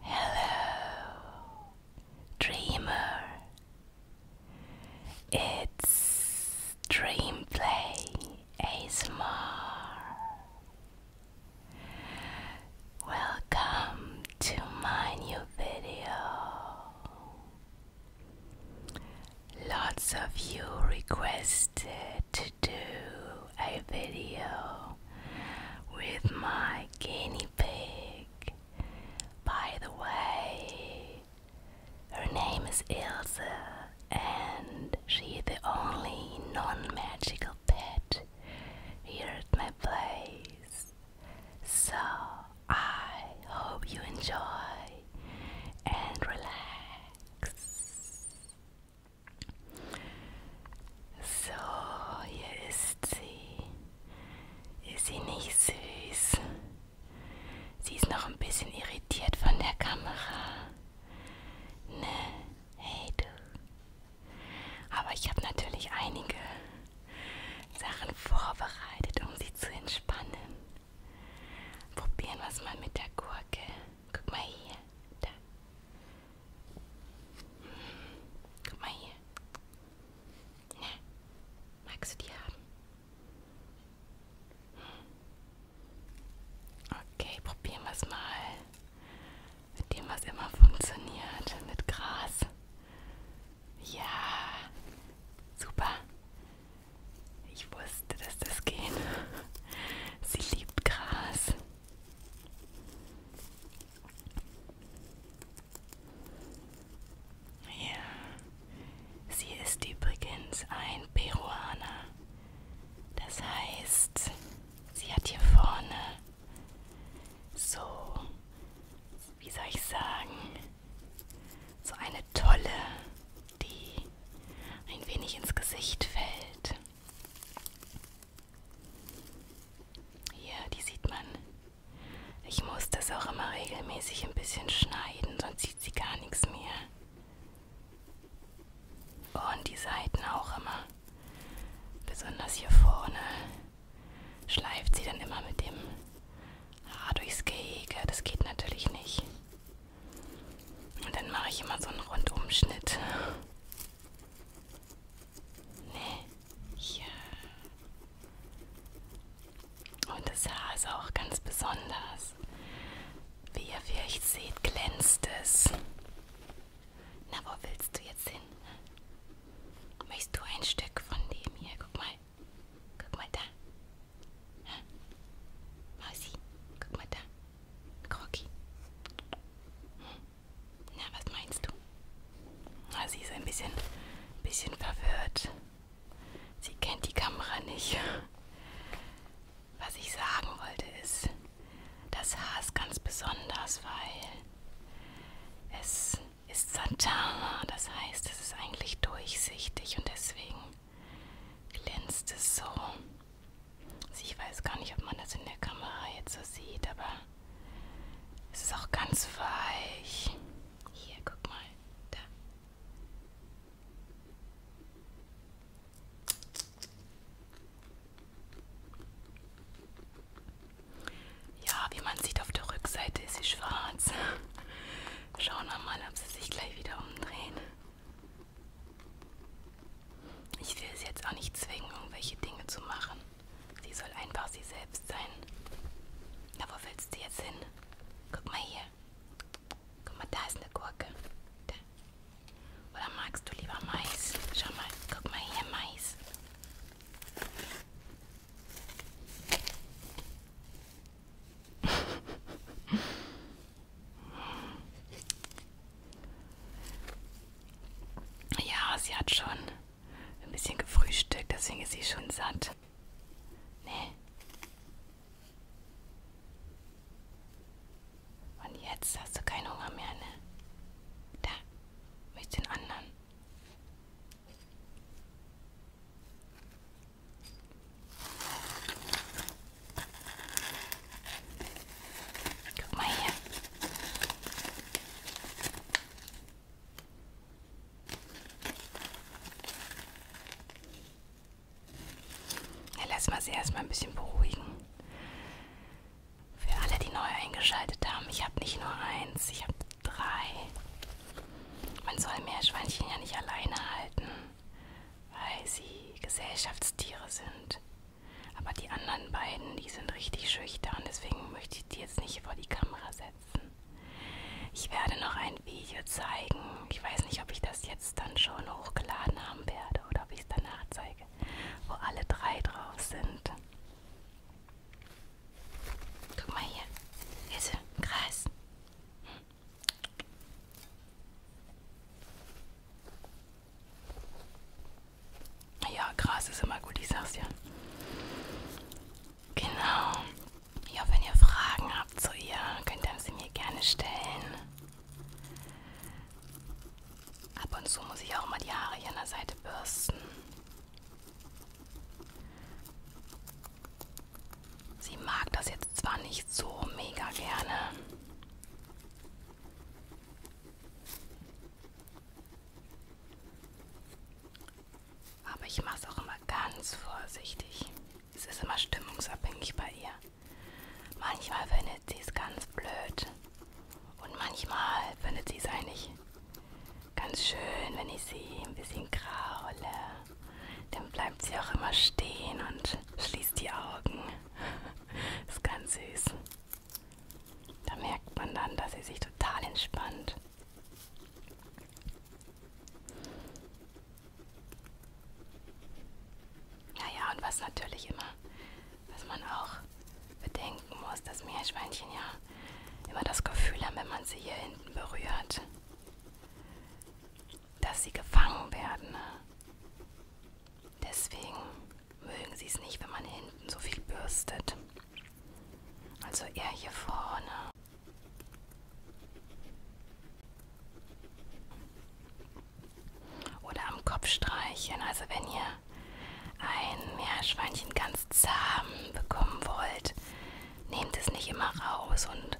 Hello, dreamer. It's Dreamplay ASMR. Welcome to my new video. Lots of you requested to do a video with my guinea pig. By the way, her name is Ilse, and she's the only non magical pet here at my place. So I hope you enjoy and relax. So, hier ist sie. Ist sie nicht süß? Sie ist noch ein bisschen irritiert von der Kamera. Ne, hey du. Aber ich habe natürlich einige Sachen vorbereitet, um sie zu entspannen. Probieren wir es mal mit der Gurke. Guck mal hier. Da. Guck mal hier. Na, magst du die haben? Okay, probieren wir es mal. Mit dem, was immer funktioniert. Mit Gras. Ja. Super. Ich wusste, dass das geht. Sie liebt Gras. Ja, sie ist übrigens ein Peruaner. Das heißt, sie hat hier vorne so, wie soll ich sagen, so eine tolle, die ein wenig ins Gesicht fällt. Hier, die sieht man. Ich muss das auch immer regelmäßig ein bisschen schneiden, sonst sieht sie gar nichts mehr. Und die Seiten auch immer. Besonders hier vorne schleift sie dann immer mit dem Haar durchs Gehege. Das geht natürlich nicht. Und dann mache ich immer so einen Rundumschnitt. Ja. Und das Haar ist auch ganz besonders. Wie ihr vielleicht seht, glänzt es. Na, wo willst du jetzt hin? Möchtest du ein Stück von dem hier? Guck mal. Guck mal da. Ha? Mausi, guck mal da. Kroki. Hm. Na, was meinst du? Na, sie ist ein bisschen, bisschen verwirrt. Sie kennt die Kamera nicht. Was ich sagen wollte ist, das Haar ist ganz besonders, weil es ist Santana. Das heißt, es ist eigentlich durchsichtig und deswegen glänzt es so. Also ich weiß gar nicht, ob man das in der Kamera jetzt so sieht, aber es ist auch ganz weich. Hier, guck mal. Da. Ja, wie man sieht, auf der Rückseite ist sie schwarz. Schauen wir mal, ob sie sich gleich wieder umdrehen. Ich will sie jetzt auch nicht zwingen, irgendwelche Dinge zu machen. Sie soll einfach sie selbst sein. Na, wo willst du jetzt hin? Guck mal hier. Guck mal, da ist eine Gurke. Da. Oder magst du lieber Mais? Schau mal, guck mal hier, Mais. Ja, sie hat schon ein bisschen gefrühstückt, deswegen ist sie schon satt. Nee. Und jetzt hast du keinen Hunger mehr, ne? Da, mit den anderen. Guck mal hier. Ja, lass mal sie erstmal ein bisschen beruhigen. Für alle, die neu eingeschaltet haben, ich habe nicht nur eins, ich habe drei. Man soll Meerschweinchen ja nicht alleine halten, weil sie Gesellschaftstiere sind. Aber die anderen beiden, die sind richtig schüchtern, deswegen möchte ich die jetzt nicht vor die Kamera setzen. Ich werde noch ein Video zeigen. Ich weiß nicht, ob ich das jetzt dann schon hochgeladen haben werde oder ob ich es danach zeige, wo alle drei drauf sind. Guck mal hier. Hier ist ein Kreis. Ja, Gras ist immer gut, ich sag's ja. Genau. Ja, wenn ihr Fragen habt zu ihr, könnt ihr sie mir gerne stellen. Ab und zu muss ich auch mal die Haare hier an der Seite bürsten. Sie mag das jetzt zwar nicht so mega gerne, aber ich mache es auch immer ganz vorsichtig. Es ist immer stimmungsabhängig bei ihr. Manchmal findet sie es ganz blöd. Und manchmal findet sie es eigentlich ganz schön, wenn ich sie ein bisschen kraule. Dann bleibt sie auch immer stehen und schließt die Augen. ist ganz süß. Da merkt man dann, dass sie sich total entspannt. Naja, und was natürlich immer, dass man auch bedenken muss, dass Meerschweinchen ja immer das Gefühl haben, wenn man sie hier hinten berührt, dass sie gefangen werden. Ne? Deswegen mögen sie es nicht, wenn man hinten so viel bürstet. Also eher hier vorne. Oder am Kopf streichen. Also wenn ihr ein Meerschweinchen ganz zahm bekommen wollt, nehmt es nicht immer raus und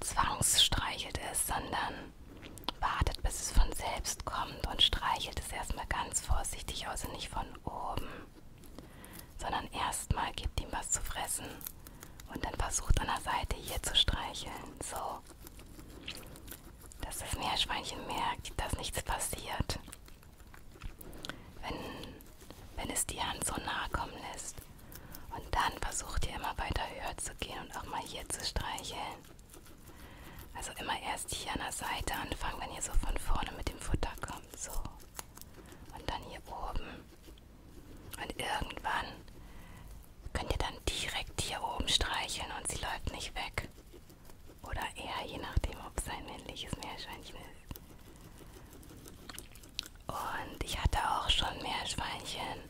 zwangsstreichelt es, sondern wartet, bis es von selbst kommt und streichelt es erstmal ganz vorsichtig, also nicht von oben, sondern erstmal gebt ihm was zu fressen und dann versucht an der Seite hier zu streicheln. So, dass das Meerschweinchen merkt, dass nichts passiert. Wenn, wenn es die Hand so nahe kommen lässt. Und dann versucht ihr immer weiter höher zu gehen und auch mal hier zu streicheln. Also immer erst hier an der Seite anfangen, wenn ihr so von vorne mit dem Futter kommt. So. Und dann hier oben. Und irgendwann könnt ihr dann direkt hier oben streicheln und sie läuft nicht weg. Oder eher, je nachdem, ob es ein männliches Meerschweinchen ist. Und ich hatte auch schon Meerschweinchen.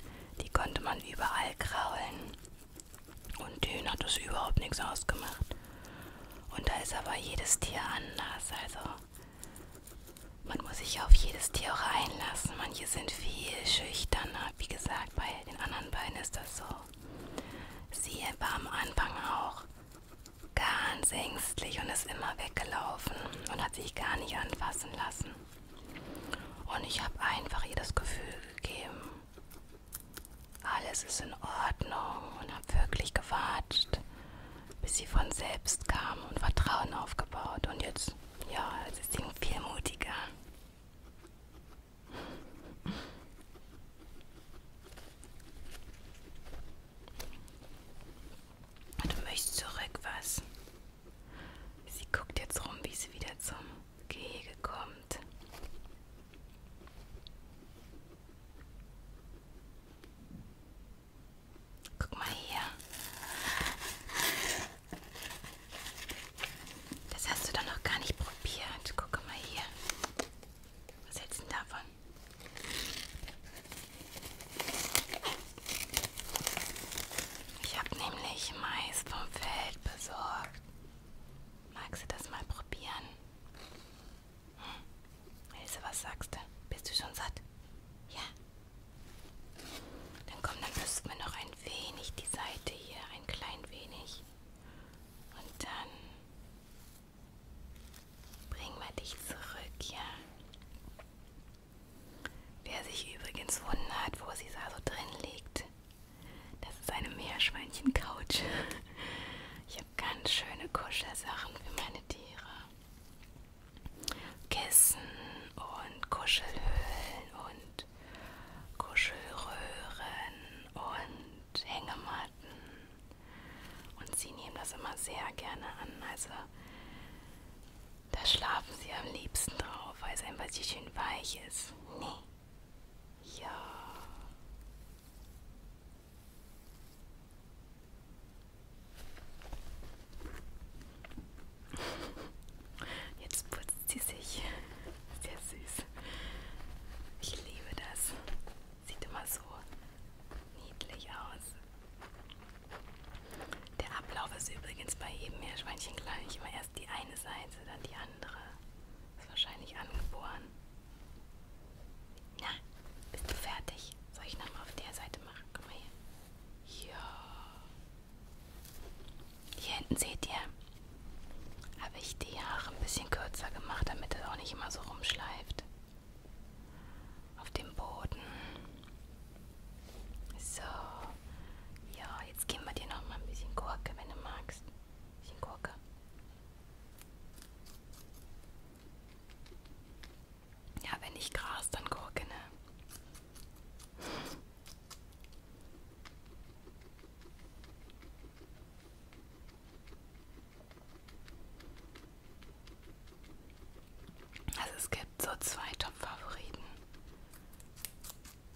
Die konnte man überall kraulen. Und denen hat es überhaupt nichts ausgemacht. Und da ist aber jedes Tier anders. Also man muss sich auf jedes Tier auch einlassen. Manche sind viel schüchterner. Wie gesagt, bei den anderen beiden ist das so. Sie war am Anfang auch ganz ängstlich und ist immer weggelaufen und hat sich gar nicht anfassen lassen. Und ich habe einfach ihr das Gefühl gegeben, alles ist in Ordnung und habe wirklich gewartet, bis sie von selbst kam und Vertrauen aufgebaut. Und jetzt, ja, jetzt ist sie viel mutiger. Du möchtest zurück, was? Sie guckt jetzt rum, wie sie wieder zum Gehege kommt. Guck mal hier. Das hast du doch noch gar nicht probiert. Guck mal hier. Was hältst du davon? Ich habe nämlich Mais vom Feld besorgt. Magst du das mal probieren? Hm. Ilse, was sagst du? Bist du schon satt? Ja. Dann komm, dann müssen wir noch ein wenig die Seite hier, ein klein wenig. Und dann bringen wir dich zurück, ja. Wer sich übrigens wundert, wo sie da so drin liegt, das ist eine Meerschweinchen-Couch. Ich habe ganz schöne Kuschelsachen für meine Tiere. Kissen und Kuschelhöhlen und Kuschelröhren und Hängematten. Und sie nehmen das immer sehr gerne an. Also da schlafen sie am liebsten drauf, weil es einfach so schön weich ist. Nee. Ja. Jetzt putzt sie sich. Sehr süß. Ich liebe das. Sieht immer so niedlich aus. Der Ablauf ist übrigens bei jedem Meerschweinchen gleich. Immer erst die eine Seite, dann die andere. Ist wahrscheinlich angeboren. Na, bist du fertig? Soll ich nochmal auf der Seite machen? Guck mal hier. Ja. Hier hinten seht ihr, habe ich die Haare ein bisschen kürzer gemacht, damit es auch nicht immer so rumschleift. Auf dem Boden. So. Ja, jetzt geben wir dir noch mal ein bisschen Gurke, wenn du magst. Ein bisschen Gurke. Ja, wenn nicht Gras, dann Gurke, ne? Also es gibt so zwei Top-Favoriten.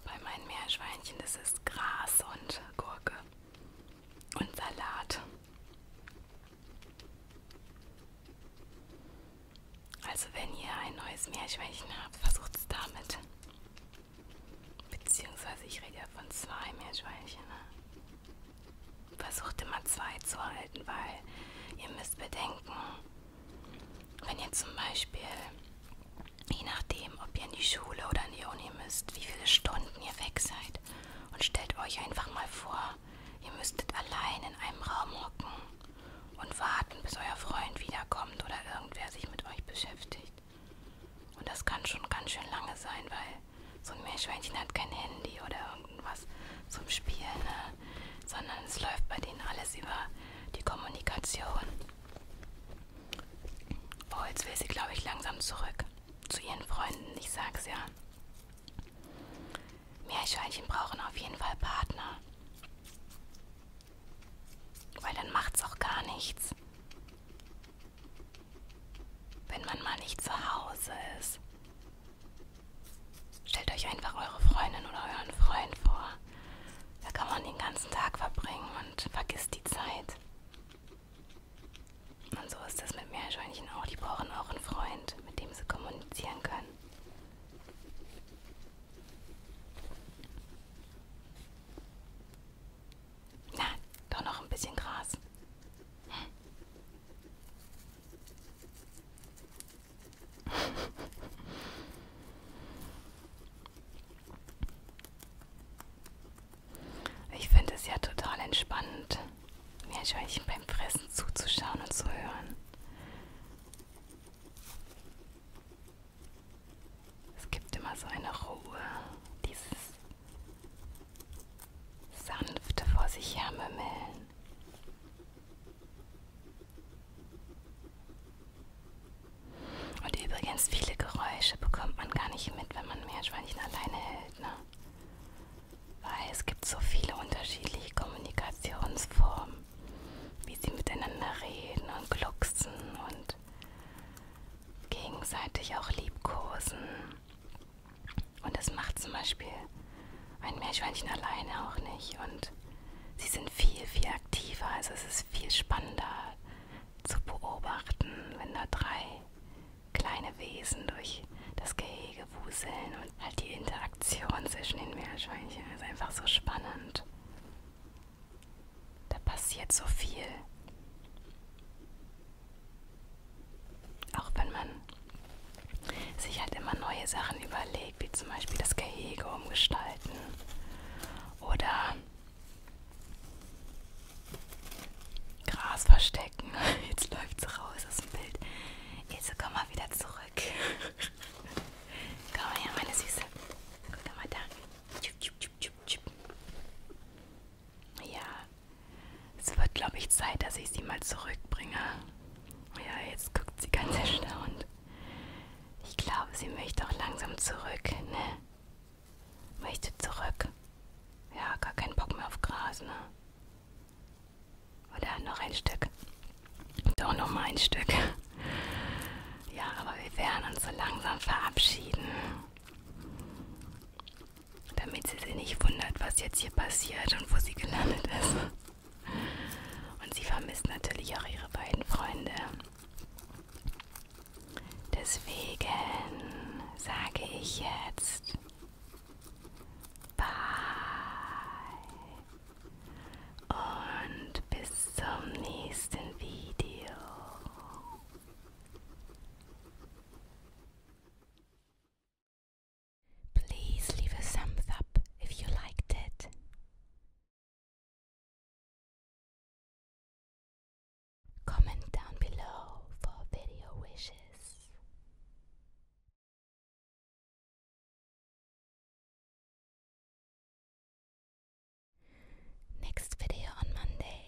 Bei meinen Meerschweinchen ist es Gras und Gurke und Salat. Also wenn ihr ein neues Meerschweinchen habt, versucht es damit. Beziehungsweise ich rede ja von zwei Meerschweinchen. Ne? Versucht immer zwei zu halten, weil ihr müsst bedenken, wenn ihr zum Beispiel, je nachdem, ob ihr in die Schule oder in die Uni müsst, wie viele Stunden ihr weg seid und stellt euch einfach mal vor, ihr müsstet allein in einem Raum hocken und warten, bis euer Freund wiederkommt oder irgendwer sich mit euch beschäftigt. Und das kann schon ganz schön lange sein, weil so ein Meerschweinchen hat kein Handy oder irgendwas zum Spielen, ne? sondern es läuft bei denen alles über die Kommunikation. Oh, jetzt will sie, glaube ich, langsam zurück zu ihren Freunden. Ich sag's ja. Meerschweinchen brauchen auf jeden Fall Partner. Weil dann macht's auch gar nichts. Wenn man mal nicht zu Hause ist. Stellt euch einfach eure Freundin oder euren Freund vor. Da kann man den ganzen Tag verbringen und vergisst die Zeit. Und so ist das mit Meerschweinchen auch. Die brauchen auch einen Freund, mit dem sie kommunizieren können. Na, doch noch ein bisschen Gras. Ich finde es ja total entspannend, Meerschweinchen beim Fressen zuzuschauen und zu hören. Es gibt immer so eine Ruhe, dieses sanfte vor sich hermümmeln. Und übrigens, viele Geräusche bekommt man gar nicht mit, wenn man Meerschweinchen alleine hält, ne? Weil es gibt so viele unterschiedliche Kommunikationsformen, wie sie miteinander reden und glucksen und gegenseitig auch liebkosen. Und das macht zum Beispiel ein Meerschweinchen alleine auch nicht. Und Sie sind viel, viel aktiver, also es ist viel spannender zu beobachten, wenn da drei kleine Wesen durch das Gehege wuseln und halt die Interaktion zwischen den Meerschweinchen ist einfach so spannend. Da passiert so viel. Auch wenn man sich halt immer neue Sachen überlegt Technik, wie zum Beispiel das Gehege umgestalten oder Gras verstecken. Jetzt läuft sie raus aus dem Bild. Ilse, komm mal wieder zurück. komm mal her, meine Süße. Guck mal da. Ja, es wird, glaube ich, Zeit, dass ich sie mal zurückbringe. Ja, jetzt guckt sie ganz erstaunt. Ich glaube, sie möchte auch langsam zurück, ne? Möchte zurück. Ja, gar keinen Bock mehr auf Gras, ne? Oder noch ein Stück. Doch noch mal ein Stück. Ja, aber wir werden uns so langsam verabschieden. Damit sie sich nicht wundert, was jetzt hier passiert und wo sie gelandet ist. Und sie vermisst natürlich auch ihre beiden Freunde. Deswegen sage ich jetzt Bye und bis zum nächsten Video. Please leave a thumbs up if you liked it. Comment down below for video wishes. Next video on Monday.